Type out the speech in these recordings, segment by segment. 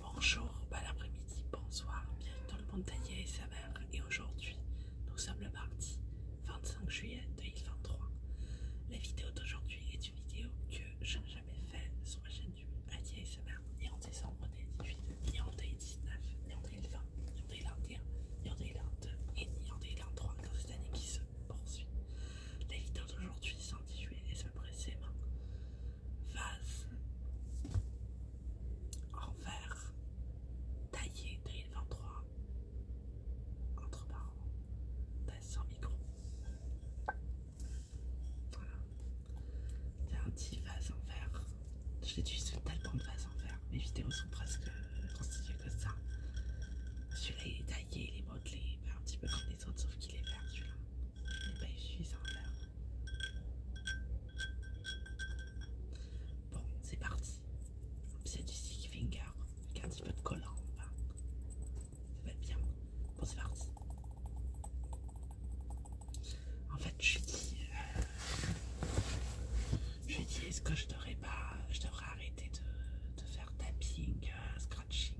Bonjour, bon après-midi, bonsoir, bienvenue dans le monde d'Aïe et sa Et aujourd'hui, nous sommes le mardi 25 juillet 2023. La vidéo d'aujourd'hui est une vidéo que je n'ai jamais faite sur ma chaîne du Aïe et sa mère, ni en décembre 2018, ni en 2019, ni en 2020, ni en 2021, ni en 2022, et ni en 2023 dans cette année qui se poursuit. La vidéo d'aujourd'hui s'intitule Les Précédemment, vase en verre taillé 2023 entre parents sans micro voilà c'est un petit vase en verre je l'utilise tellement de vase en verre mes vidéos sont presque constituées comme ça celui-là il est taillé il est modelé un petit peu autres, sauf qu'il est perdu celui-là. Il n'est pas en l'air Bon, c'est parti. C'est du stick finger avec un petit peu de collant en bas. Ça va être bien. Bon, c'est parti. En fait, je dis, euh, je dis, est-ce que je devrais pas, je devrais arrêter de, faire tapping, euh, scratching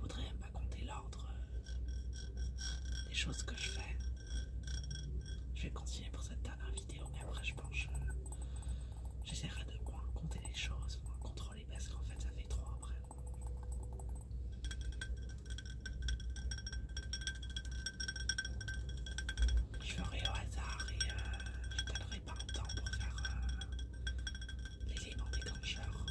voudrais même pas compter l'ordre euh, des choses que je fais. Je vais continuer pour cette dernière vidéo, mais après je pense que euh, j'essaierai de compter les choses, moins contrôler parce qu'en fait ça fait trop après. Je ferai au hasard et euh, je donnerai pas le temps pour faire euh, l'élément déclencheur.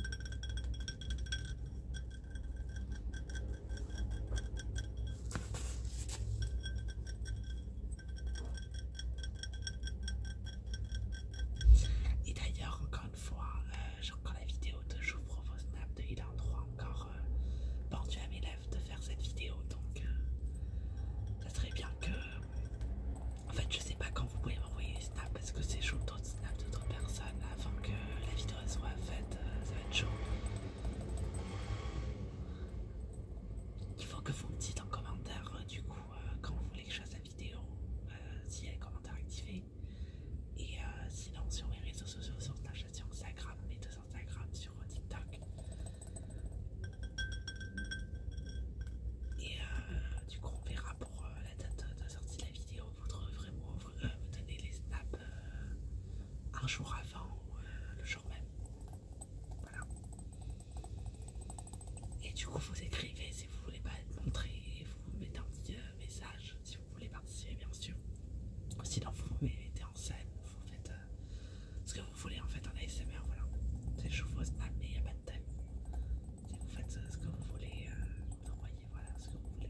Et d'ailleurs, encore une fois, euh, j'ai encore la vidéo de Je vous propose de Il en droit encore euh, pendue à mes lèvres de faire cette vidéo donc euh, ça serait bien que en fait, je sais pas quand vous pouvez m'envoyer snaps, parce que c'est chaud d'autres snaps d'autres personnes avant que la vidéo soit faite. Euh, ça va être chaud. Il faut que vous me dites en commentaire euh, du coup euh, quand vous voulez que je fasse la vidéo, si s'il y a les commentaires activés. Et sinon sur mes réseaux sociaux, sur Snapchat, sur Instagram, et deux Instagram, sur TikTok. Et euh, du coup, on verra pour euh, la date de sortie de la vidéo. vous euh, donner les snaps un jour avant ou le jour même. Voilà. Et du coup, vous écrivez si vous voulez pas être montré. Vous mettez un petit message si vous voulez participer, bien sûr. Sinon, vous vous mettez en scène. Vous faites ce que vous voulez en fait en ASMR, voilà. Je vous mais il a pas de thème. Si vous faites euh, ce que vous voulez, euh, vous envoyez voilà ce que vous voulez.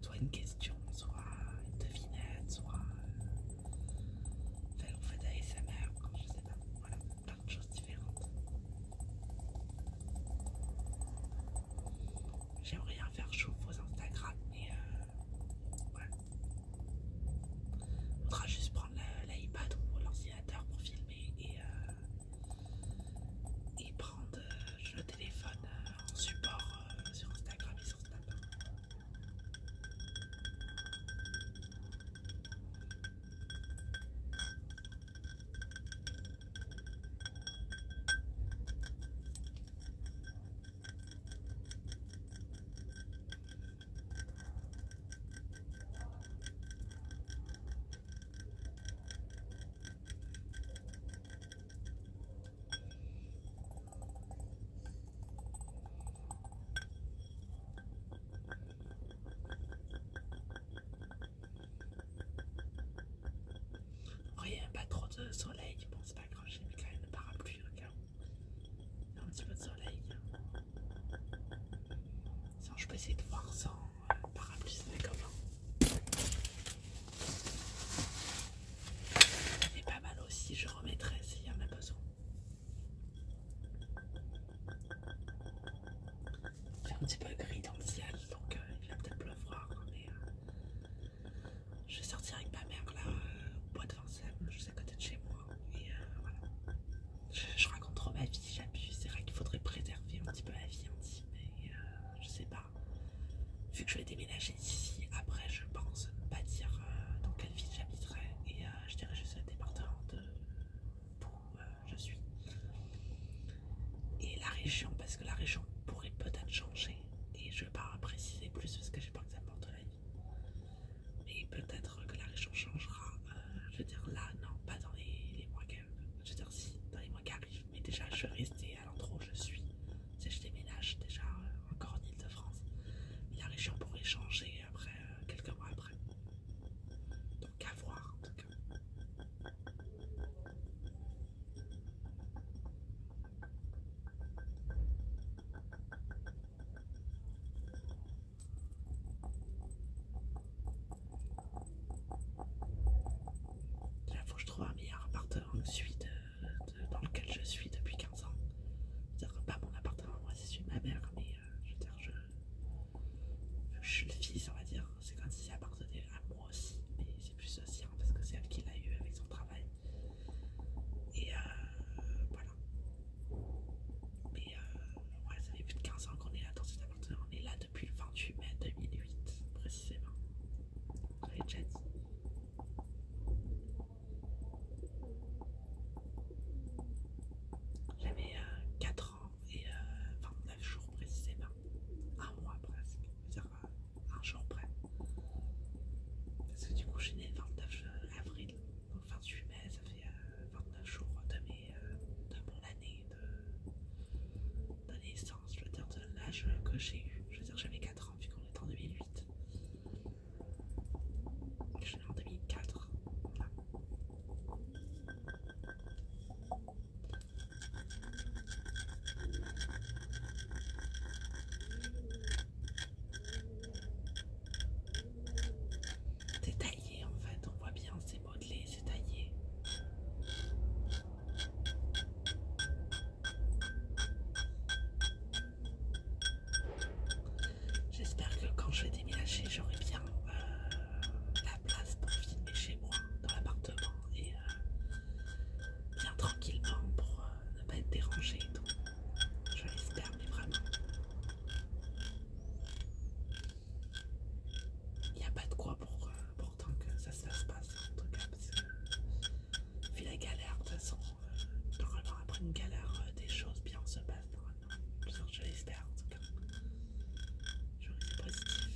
Soit une question, soit une devinette, soit... vous faites ASMR, je sais pas. Voilà, plein de choses différentes. J'aimerais faire chaud vos Instagram, mais euh, il faudra juste prendre l'iPad ou l'ordinateur pour filmer et, euh, prendre euh, le téléphone euh, en support sur Instagram et sur Snap. Rien, oh, pas trop de soleil, je pense j'ai mis quand même le parapluie regarde un petit peu de soleil. Sinon, je peux essayer de voir sans le euh, parapluie, c'est comment. C'est pas mal aussi, je remettrai s'il y en a besoin. C'est un petit peu gris dans le ciel, donc euh, il va peut-être pleuvoir, mais euh, je vais sortir avec ma mère là, au bois de Vincennes, juste à côté de chez moi. Et euh, voilà. Je, raconterai raconte trop ma vie, j'appuie. C'est vrai qu'il faudrait préserver un petit peu la vie en Et mais euh, je sais pas. Vu que je vais déménager ici, après je pense pas dire euh, dans quelle ville j'habiterai. Et je dirais juste le département de où je suis. Et la région, parce que la région pourrait peut-être changer et je ne vais pas préciser plus parce que j'ai pas que ça porte la vie. Mais peut-être que la région changera, euh, je veux dire là, non, pas dans les, mois qui Je veux dire si, dans les mois arrivent, mais déjà je vais rester à l'endroit où je suis. Si je déménage déjà euh, encore en Ile-de-France, la région pourrait changer après, euh, quelques mois après. Donc à voir en tout cas. Il faut que je trouve un meilleur appartement que celui euh, dans lequel je suis depuis 15 ans. C'est-à-dire pas mon appartement, moi, c'est celui ma mère, mais euh, je suis le fils, on va dire. C'est comme si ça appartenait à moi aussi, plus ça hein, parce que c'est elle qui l'a eu avec son travail. Et euh, voilà. Mais euh, ça fait plus de 15 ans qu'on est là dans cet appartement. On est là depuis le 28 mai 2008, précisément. J'avais déjà dit. J'avais 4 euh, ans et 29 euh, jours précisément. Un mois presque un jour près. Parce que du coup, je suis née le 29 euh, avril, donc 28 mai, ça fait 29 euh, jours euh, de, mon année de, naissance, je veux dire, de l'âge que j'ai eu. Je veux dire, j'avais 4 ans, vu qu'on est en 2008. Je suis née en 2004. Voilà. C'est taillé en fait, on voit bien, c'est modelé, c'est taillé. J'espère que quand je vais déménager, j'aurai bien euh, la place pour filmer chez moi dans l'appartement et euh, bien tranquillement pour euh, ne pas être dérangé et tout. Je l'espère, mais vraiment. Il n'y a pas de quoi pour, autant euh, pourtant que ça se passe, en tout cas, parce que vu la galère, de toute façon, normalement après une galère, des choses bien se passent normalement. Je l'espère en tout cas. Je reste positif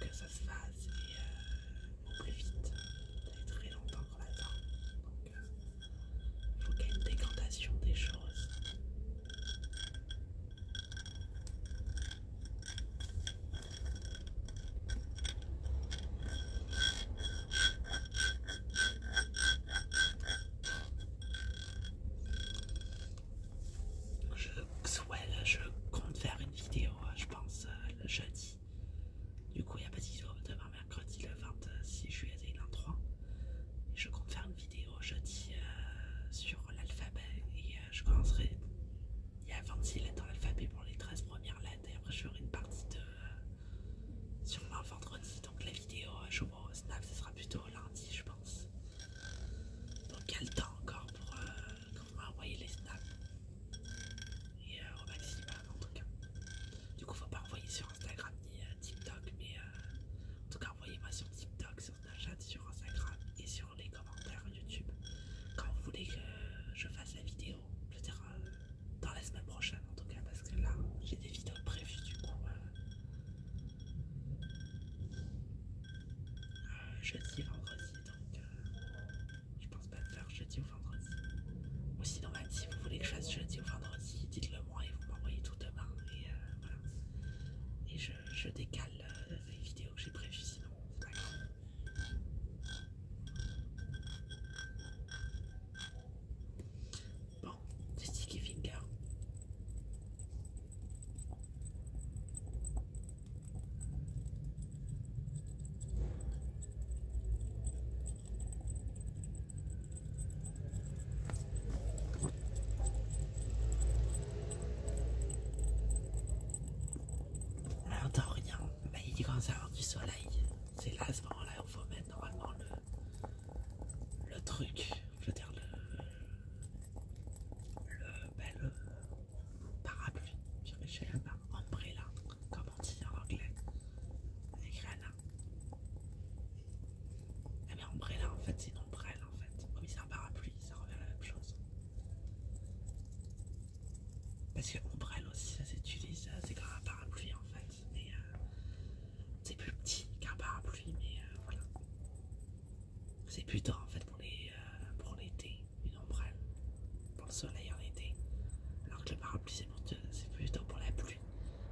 que ça se fasse et euh, au plus vite. Ça fait très longtemps qu'on attend Donc, faut euh, il faut qu'il y ait une décantation des choses. Je, je compte faire une vidéo, je pense, euh, le jeudi. Du coup, il n'y a pas de demain, mercredi, le 26 juillet 2023. Et je compte faire une vidéo jeudi euh, sur l'alphabet. Et euh, je commencerai. Il y a 26 lettres dans l'alphabet pour les 13 premières lettres. Et après, je ferai une partie de. sur le vendredi. Donc, la vidéo, je jour au Snap, ce sera plutôt lundi, je pense. Donc, il y a le temps encore pour quand m'a les snaps. Et euh, au maximum en tout cas. Du coup, faut pas envoyer sur Instagram ni euh, TikTok, mais euh, en tout cas, envoyez-moi sur TikTok, sur Snapchat, sur Instagram et sur les commentaires YouTube quand vous voulez que je fasse la vidéo. Je veux dans la semaine prochaine en tout cas, parce que là, j'ai des vidéos prévues du coup. Euh, jeudi vendredi, donc euh, je pense pas faire jeudi ou vendredi. Ou sinon, bah, si vous voulez que je fasse jeudi ou vendredi, dites-le moi et vous m'envoyez tout demain. Et euh, voilà. Et je, décale les vidéos que j'ai prévues, sinon, c'est pas grave. Bon, du sticky finger, alors n'entend rien, mais il commence à avoir du soleil. C'est là ce moment-là où il faut mettre normalement le, le truc, je veux dire le, le, bel parapluie, j'ai un là umbrella, comme on dit en anglais, elle Eh bien, umbrella en fait, c'est une ombrelle en fait, oui c'est un parapluie, ça revient à la même chose. Parce que ombrelle aussi, ça s'utilise, c'est comme un parapluie en fait, mais euh, c'est plus petit qu'un parapluie, mais euh, voilà. C'est plutôt en fait pour euh, pour l'été, une ombrelle pour le soleil en été. Alors que le parapluie c'est plutôt pour la pluie.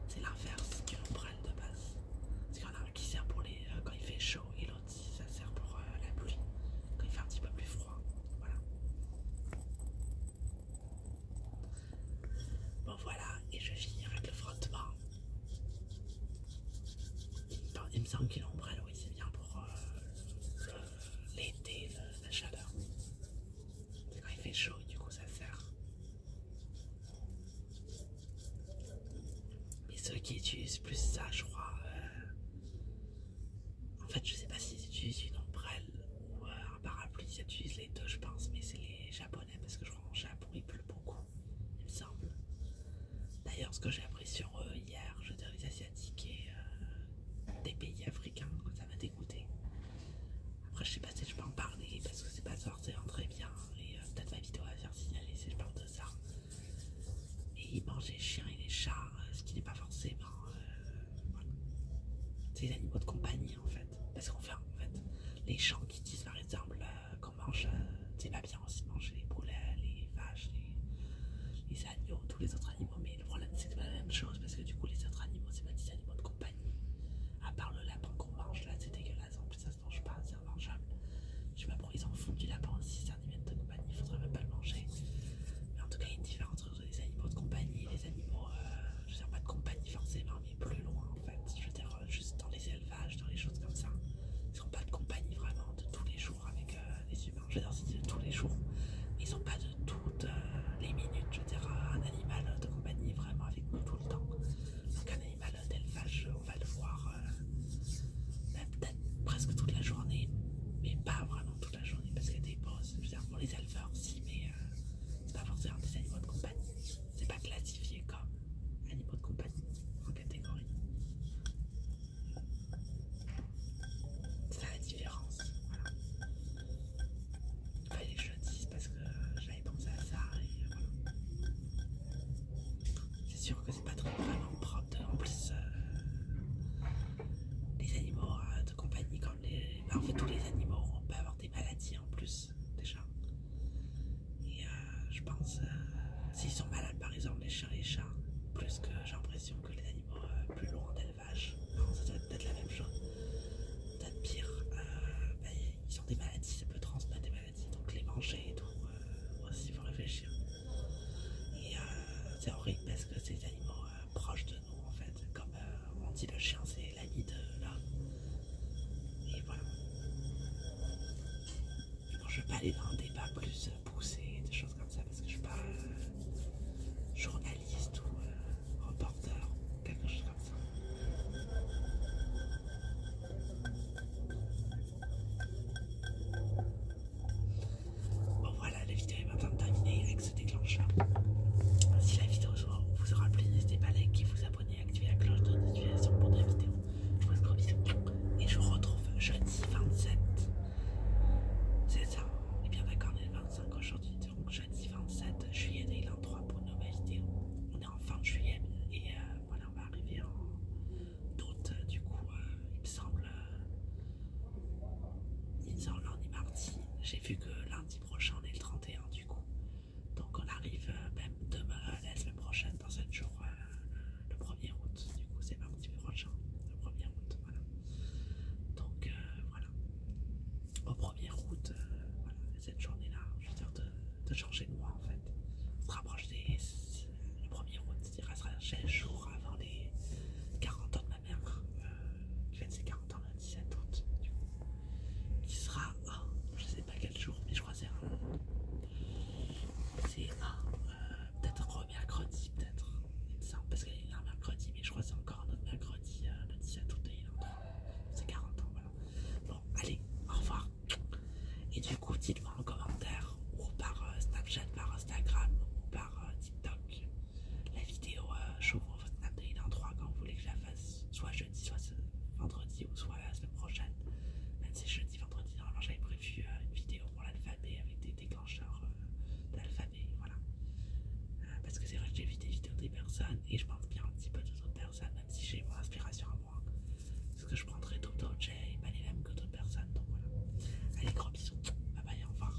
C'est l'inverse qu'une ombrelle de base. c'est qu'il y a un qui sert pour les euh, quand il fait chaud et l'autre ça sert pour euh, la pluie. Quand il fait un petit peu plus froid. Voilà. Bon voilà, et je vais finir avec le frottement. Il me semble qu'il l'ombrelle, oui, c'est bien pour euh, l'été, la chaleur. quand il fait chaud, du coup, ça sert. Mais ceux qui utilisent plus ça, je crois. Euh, en fait, je sais pas s'ils utilisent une ombrelle ou euh, un parapluie, ils utilisent les deux, je pense, mais c'est les japonais parce que je crois qu'en Japon il pleut beaucoup il me semble. D'ailleurs, ce que j'ai appris sur eux hier, je veux les Asiatiques et euh, des pays africains, ça m'a dégoûté. Après, je sais pas si je peux en parler parce que c'est pas forcément très bien. Et euh, peut-être ma vidéo va faire signaler si je parle de ça. Et ils mangent les chiens et les chats, euh, ce qui n'est pas forcément. C'est des animaux de compagnie en fait. Parce qu'en fait, en fait, les gens qui disent par exemple euh, qu'on mange euh, c'est pas bien aussi de manger les poulets, les vaches, les, agneaux, tous les autres animaux. Mais le problème c'est que c'est pas la même chose parce que du coup les autres animaux c'est pas des animaux de compagnie. À part le lapin qu'on mange là, c'est dégueulasse, en plus ça se mange pas, c'est revanchable Je sais pas pourquoi ils en foutent du lapin aussi, c'est un animal de compagnie, il faudrait même pas le manger. Mais en tout cas il y a une différence entre les animaux de compagnie et les animaux, euh, je sais pas de compagnie forcément, mais plus loin. Je veux dire, euh, juste dans les élevages, dans les choses comme ça. Ils n'ont pas de compagnie vraiment de tous les jours avec euh, les humains. Je veux dire, c'est de tous les jours. Ils n'ont pas de toutes euh, les minutes. Je veux dire, un animal de compagnie vraiment avec nous tout le temps. Donc, un animal d'élevage, on va le voir bah, peut-être presque toute la journée, mais pas vraiment toute la journée parce qu'il y a des pauses. Je veux dire, pour les éleveurs, aussi, mais c'est pas forcément des animaux de compagnie. C'est pas classique comme animaux de compagnie en catégorie. C'est la différence. Voilà. Fallait que je le dise parce que j'avais pensé à ça C'est sûr que c'est pas trop vraiment propre. En plus, euh, les animaux euh, de compagnie, comme les. Bah, en fait, tous les animaux, on peut avoir des maladies en plus des déjà. Et euh, je pense, euh, s'ils sont malades par exemple les chiens et les chats, plus que j'ai l'impression que les animaux euh, plus loin d'élevage, non ça doit peut-être la même chose, peut-être pire, ben, ils ont des maladies, ça peut transmettre des maladies, donc les manger et tout, aussi il faut réfléchir. Et c'est horrible parce que c'est des animaux proches de nous en fait, comme on dit le chien c'est la euh, là. Et voilà. je ne vais pas aller dans un débat plus euh, poussé, des choses comme ça, parce que je ne suis pas euh, journaliste ou reporter quelque chose comme ça. Bon voilà, la vidéo est maintenant terminée avec ce déclencheur. Si la vidéo on vous vous plu, rappelez, n'hésitez pas à liker, vous abonner, activer la cloche de notification pour des vidéos. Je vous et je vous retrouve jeudi 27. C'est ça, et eh bien d'accord, on est le 25 aujourd'hui, donc jeudi 27 juillet 3 pour une nouvelle vidéo. On est en fin de juillet et euh, voilà, on va arriver en août, euh, du coup, euh, il me semble. ni il ni mardi. J'ai vu que lundi prochain on est le 31. Donc on arrive euh, même demain, euh, la semaine prochaine, dans 7 jours, euh, le 1er août. Du coup, c'est peu prochain, le 1er août, voilà. Donc voilà, au 1er août, voilà, cette journée-là, je veux dire, de, de changer de mois en fait. On se rapproche des. 1er août, c'est-à-dire, ça sera 16 jours avant les 40 ans de ma mère. Euh, qui de ses 40 ans le 17 août, qui sera, je sais pas quel jour, mais je crois c'est un, c'est euh, peut-être un mercredi, peut-être, parce qu'il est un mercredi, mais je crois c'est encore un autre mercredi, euh, le 17 août, et il est encore, c'est 40 ans, voilà. Bon, allez, au revoir. Et du coup, dites-moi en commentaire, ou par Snapchat, par Instagram, ou par TikTok. La vidéo euh, je J'ouvre votre dans 3 quand vous voulez que je la fasse, soit jeudi, soit vendredi ou soit la semaine prochaine. Même si jeudi, vendredi, normalement j'avais prévu euh, une vidéo pour l'alphabet avec des déclencheurs euh, d'alphabet, voilà. parce que c'est vrai que j'ai vu des vidéos des personnes et je pense bien un petit peu d'autres personnes, même si j'ai mon inspiration à moi. Parce que je prendrai d'autres objets et pas les mêmes que d'autres personnes, donc voilà. Allez, gros bisous, bye bye, au revoir.